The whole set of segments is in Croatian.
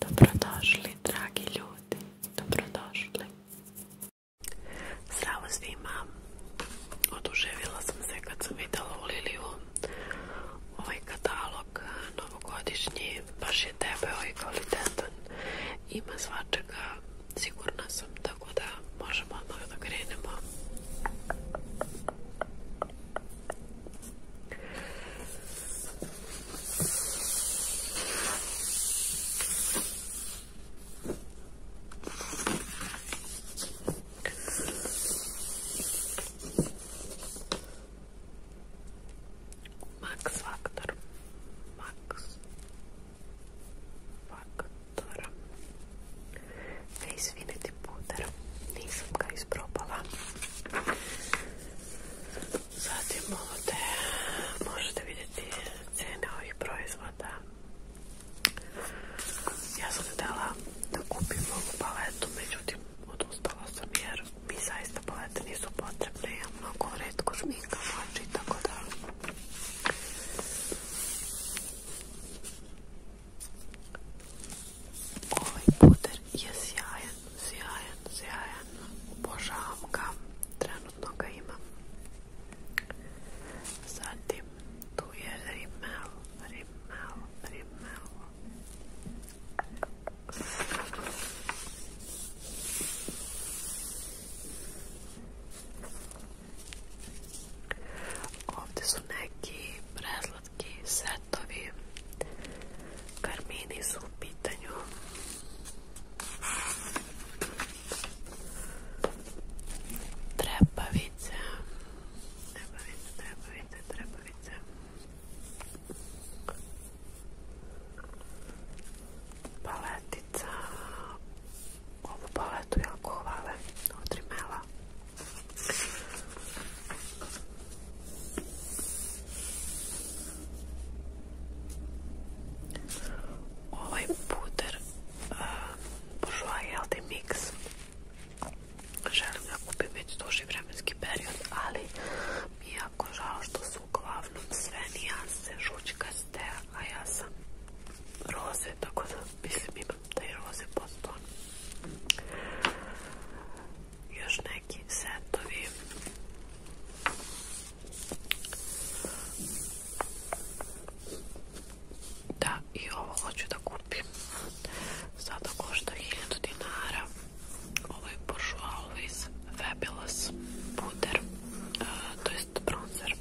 Dobrodošli, dragi ljudi. Dobrodošli. Zdravo svima. Oduževila sam se kad sam videla u Liliju ovaj katalog eh, novogodišnji. Baš je debeo i kvalitetan. Ima svačega. Sigurna sam, tako da možemo odmah da krenemo. Max faktor. Max faktor. Face puder. Nisam ga isprobala. Zatim ovdje možete vidjeti cijene ovih proizvoda. Ja sam htjela da kupim ovu paletu, međutim odustala sam jer mi zaista palete nisu potrebne. Ja mnogo redko šminkam oči, tako da... Ovaj puder je sjajan, sjajan. Obožavam ga. Trenutno Zatim tu je rimel. Rimmel, Ovdje su neki prezlatki setovi karmini su u trebavice trebavice, paletica ovu paletu jako hvale od Ovaj puder uh, eh, Bourjois Healthy Mix želim da kupim već duži vremenski period, ali mi je jako žao što su uglavnom sve nijanse žučkaste, a ja sam roze, tako da mislim imam taj roze poston još neki setovi da i ovo hoću da kupim sada košta 1000 dinara ovo je Bourjois Always Fabulous puder e, to jest bronzer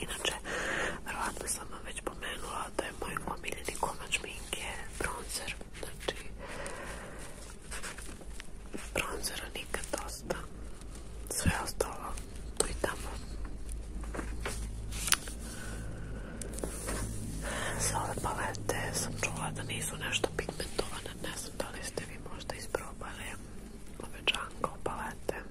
inače vjerojatno sam vam već pomenula da je moj omiljeni komač je bronzer znači bronzera nikad dosta sve ostalo tu i tamo palete sam čula da nisu nešto pigmentovane ne znam da li ste vi možda isprobali ove palete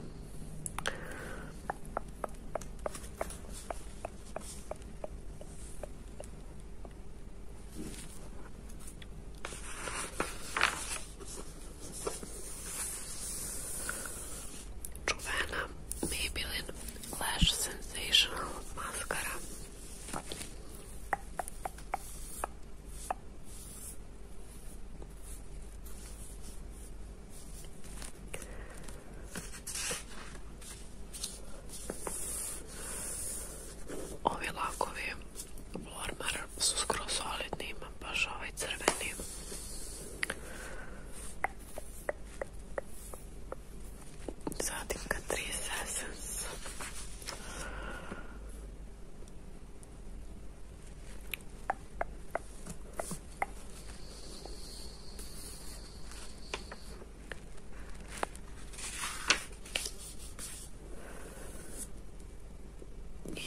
Joanna Maybelline Lash Sensational Mascara. Ovi lakovi Lormar su skoro solidni, baš ovaj crveni. Zatim 3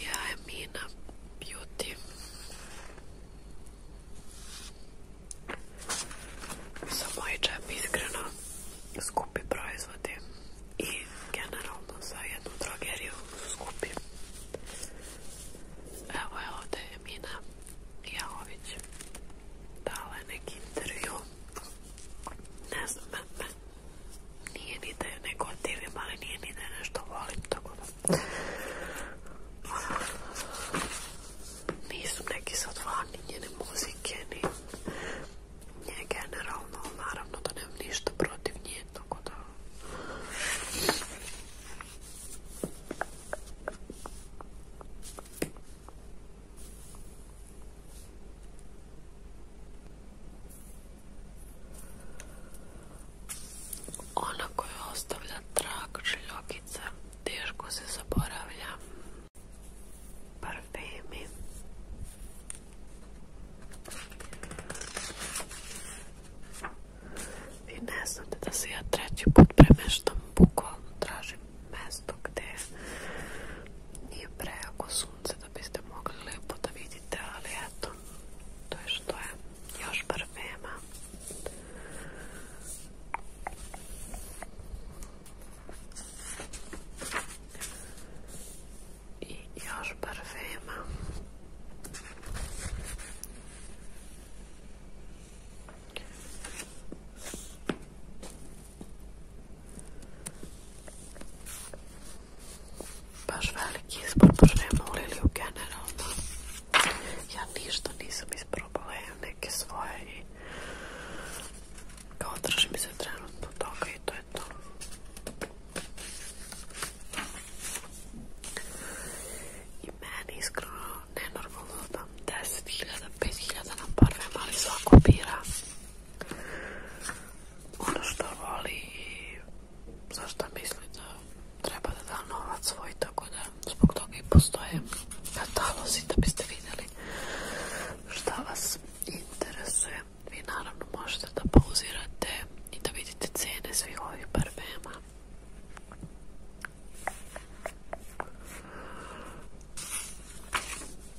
ja I Mina beauty. skupi proizvodi i generalno za jednu drogeriju skupi. Evo je ovdje Mina Jahović dala neki intervju. Ne znam, me, nije ni da je neko divim, ali nije ni da je nešto volim, tako da... Nisu neki sad fan ni njene muzike, ni generalno, naravno da nemam ništa protiv nje, tako da... Ona koja ostavlja trag žiljokica teško se zaboravlja. Parfemi. Vi ne znate da se ja treći put premeštam, bukvalno tražim mesto gde nije prejako sunce da biste mogli lepo da vidite, ali eto, to je što je, još bar nema. I još parfema. Baš veliki izbor, baš nema uliliju generalno. Ja ništa nisam isprobala, ja neke svoje i kao držim se trenutno toga i to je to. I meni iskreno nenormalno da 10.000, 5.000 na parfem, ali svako bira ono što i zašto misli da treba da da novac svoj, tako da zbog toga i postoje katalozi da biste vidjeli šta vas interese, Vi naravno možete da pauzirate i da vidite cijene svih ovih parfema.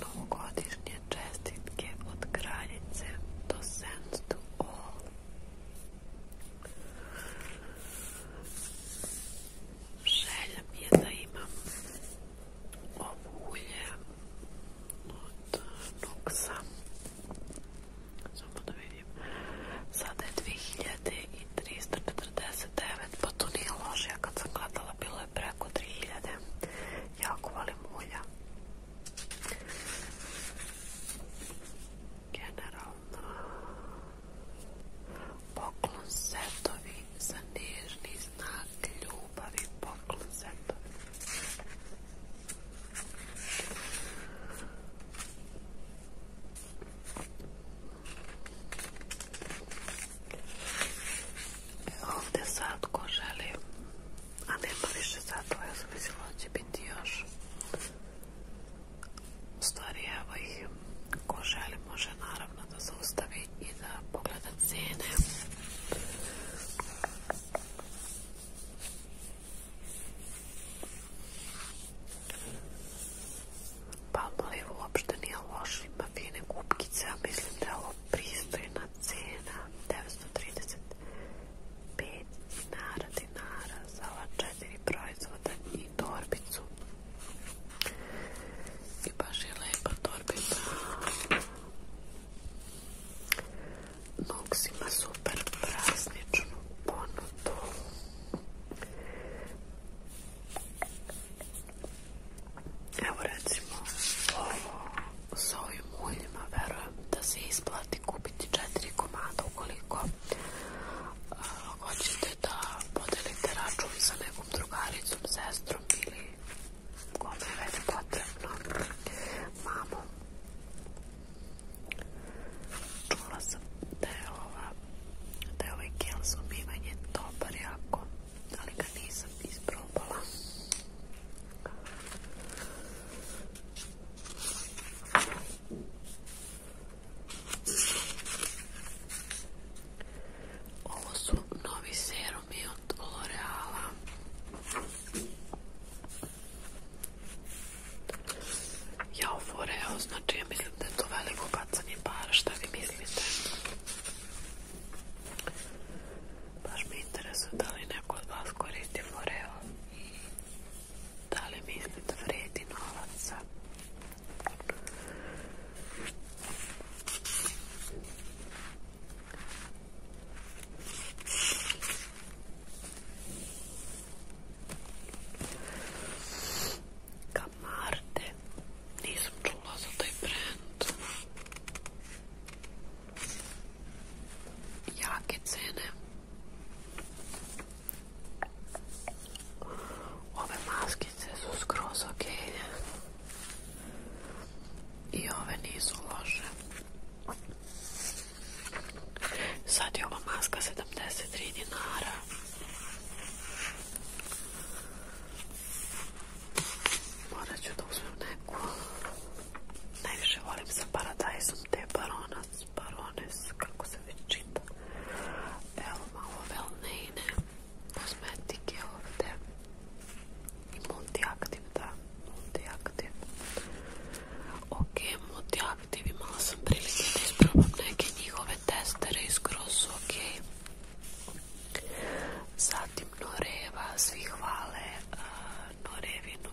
novogodišnje čestitke od kraljice do Sense to All. je da imam ovo ulje od Nuxa. Samo da vidim. Sada je 2349, pa to nije loše. kad sam gledala bilo je preko 3000. Jako volim ulja. Generalno, poklon setovi za nježni znak ljubavi, poklon setovi. E, ovdje sad ko želi a nema pa više to, ja sam mislila da će biti još. U stvari, evo i ko želi može naravno da zaustavi i da pogleda cijene. Pa uopšte nije loš, ima fine kupkice, a mislim da je ovo pristojna cena 935 dinara dinara za ova četiri proizvoda i torbicu i baš je lepa torbica Nox ima super prazničnu ponudu Evo recimo ovo s ovim uljima da se isplati kupiti četiri komada ukoliko hoćete da podelite račun sa nekom drugaricom, sestrom ili kome je već potrebno mamom čula sam da je ova ovaj gel za dobar jako nisam isprobala ovo su novi serumi od L'Oreala. Ja ovo znači ja mislim da je to veliko bacanje para, šta vi mislite? Baš mi interesuje da li neko od vas koristi Foreo Dale da li da vredi novaca. Kamarte, nisam čula za taj brand jake cene. Ove maskice su skroz ok. I ove nisu loše. Sad je ova maska 73 dinara. Morat ću da uzmem neku. Najviše volim sa paradajzom te baronac, barones, kako se već čita. Evo malo velneine, kosmetike ovdje. I multiaktiv, da, multiaktiv. Ok, multiaktiv, imala sam prilike da isprobam neke njihove testere i skroz su ok. Zatim Noreva, svi hvale uh, Norevinu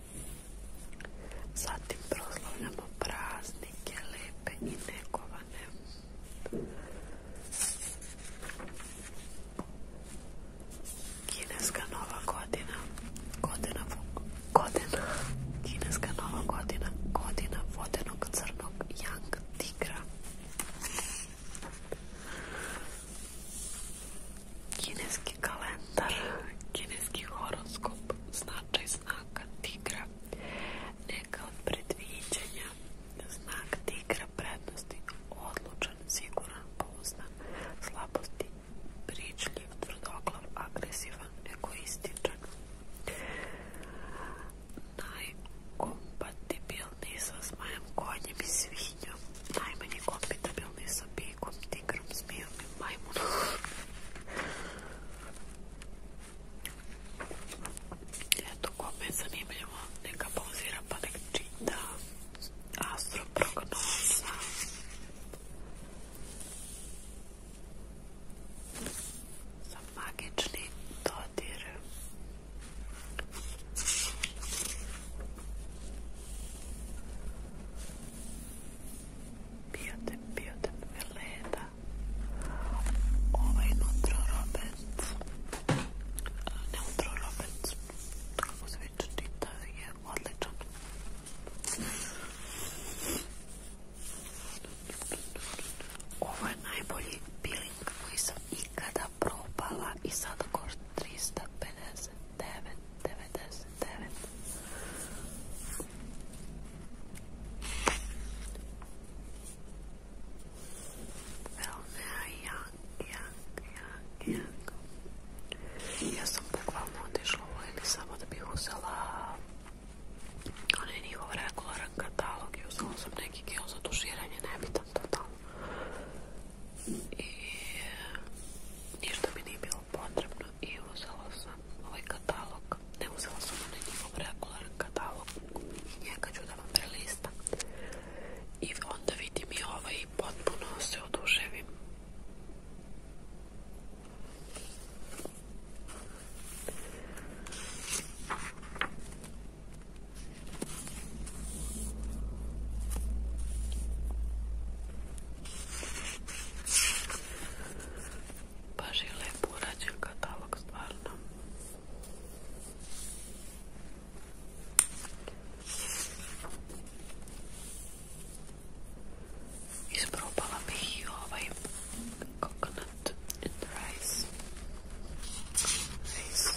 Zatim proslavljamo praznike, lepe i negovane. Kineska nova godina, godina, kineska nova godina, godina vodenog crnog yang tigra. Kineski kalendar, kineski horoskop, značaj znaka tigra, neka od predviđenja, znak tigra, prednosti, odlučan, siguran, pouznan, slabosti, pričljiv, tvrdoglav, agresivan, egoističan. najkompatibilniji sa zmajem, konjem i svinjom, najmanje kompatibilni sa bikom, tekrar smijem, maymunu. Eto kome zanimljivo neka pauzira pa nek čita astroprognoza. Za magični dodir. Biotin, biotin Milena. Ovaj Nutro Roberts. Ne Kako se već čita je odličan. Ovo je najbolji peeling koji sam ikada probala i sad ko 359. Well, now, jak, jak, jak, jak. Ja sam bukvalno otišla u samo da bih uzela katalog i uzela sam neki za tuširanje, nebitan I ništa mi nije bilo potrebno i uzela sam ovaj katalog. Ne uzela sam onaj njihov katalog. Njega ću da vam prelistam. I onda vidim i ovaj potpuno se oduševim. Pa žile porađen katalog stvarno. Isprobala bih i ovaj coconut and rice. rice.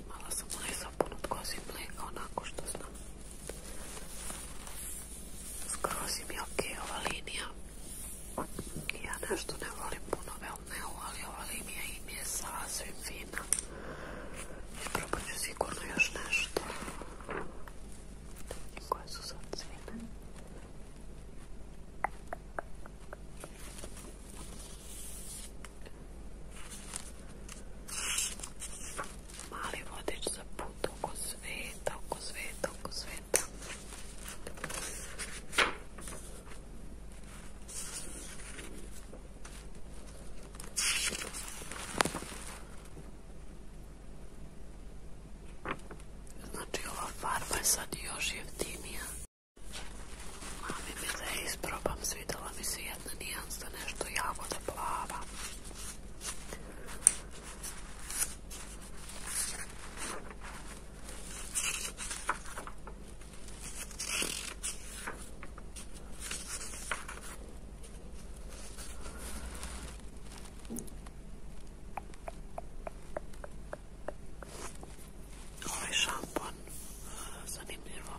Imala sam onaj sapun od kozi mlijeka, onako što znam. Skroz im je ok ova linija. Ja nešto ne volim puno velneu, ali ova linija im je sasvim fina. Probat ću sigurno još nešto. Koje su sad cijene? Mali vodič za put oko sveta, oko sveta, oko sveta. Znači ova farba je sad još jeftinija Mami bile isprobam, svidjela mi se jedna nijansa, nešto jagoda plava. Ovaj šampon, e, zanimljivo,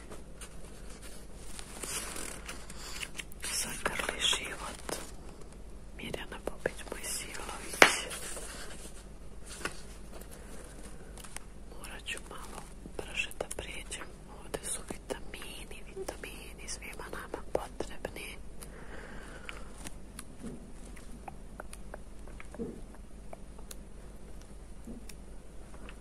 Zagrli život Mirjana Popić Mojsilović Morat ću malo brže da prijeđem Ovdje su vitamini, vitamini svima nama potrebni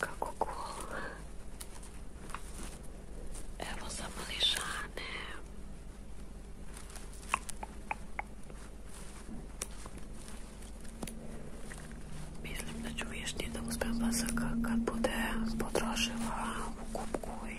Kako cool. Evo za mališane. Mislim da ću vješti da uspijem pasaka potrošila u kupku i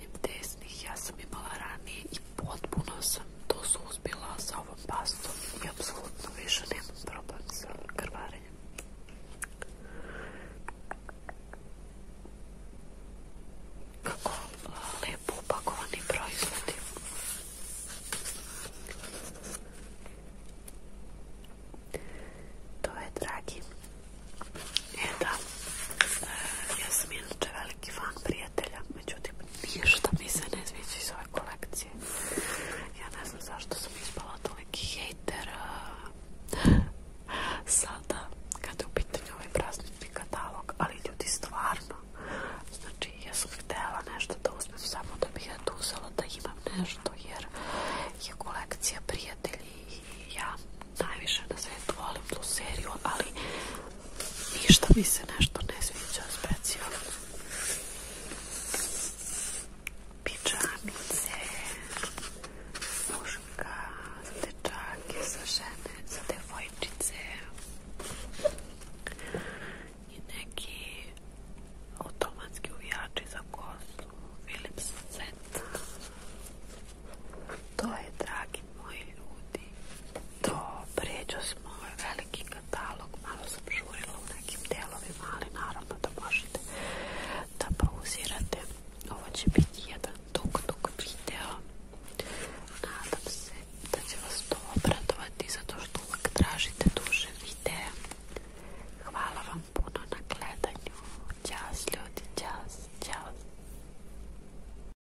udaranjem desnih ja sam imala ranije i potpuno sam to suzbila sa ovom pastom i apsolutno više nemam problem sa Kako lepo upakovani proizvodi. To je dragi. E da, e, ja sam inače veliki fan prijatelja međutim ništa mi se ne iz ove kolekcije ja ne znam zašto sam ispala toliki hejter sada kada je u pitanju ovaj katalog ali ljudi stvarno znači ja sam htjela nešto da samo da bih da imam nešto jer je kolekcija prijatelji i ja najviše na svijetu volim tu seriju ali ništa mi se nešto ne sviđa specijalno. Pičamice, muška, za dečake, za žene, za devojčice i neki automatski uvijači za kosu, Philips Z. To je, dragi moji ljudi to pređo smo ovaj veliki katalog malo sam žurila u nekim delovima ali naravno da možete da pauzirate ovo će biti jedan dug dug video nadam se da će vas to obradovati zato što uvijek tražite duže videe hvala vam puno na gledanju čas ljudi, čas, čas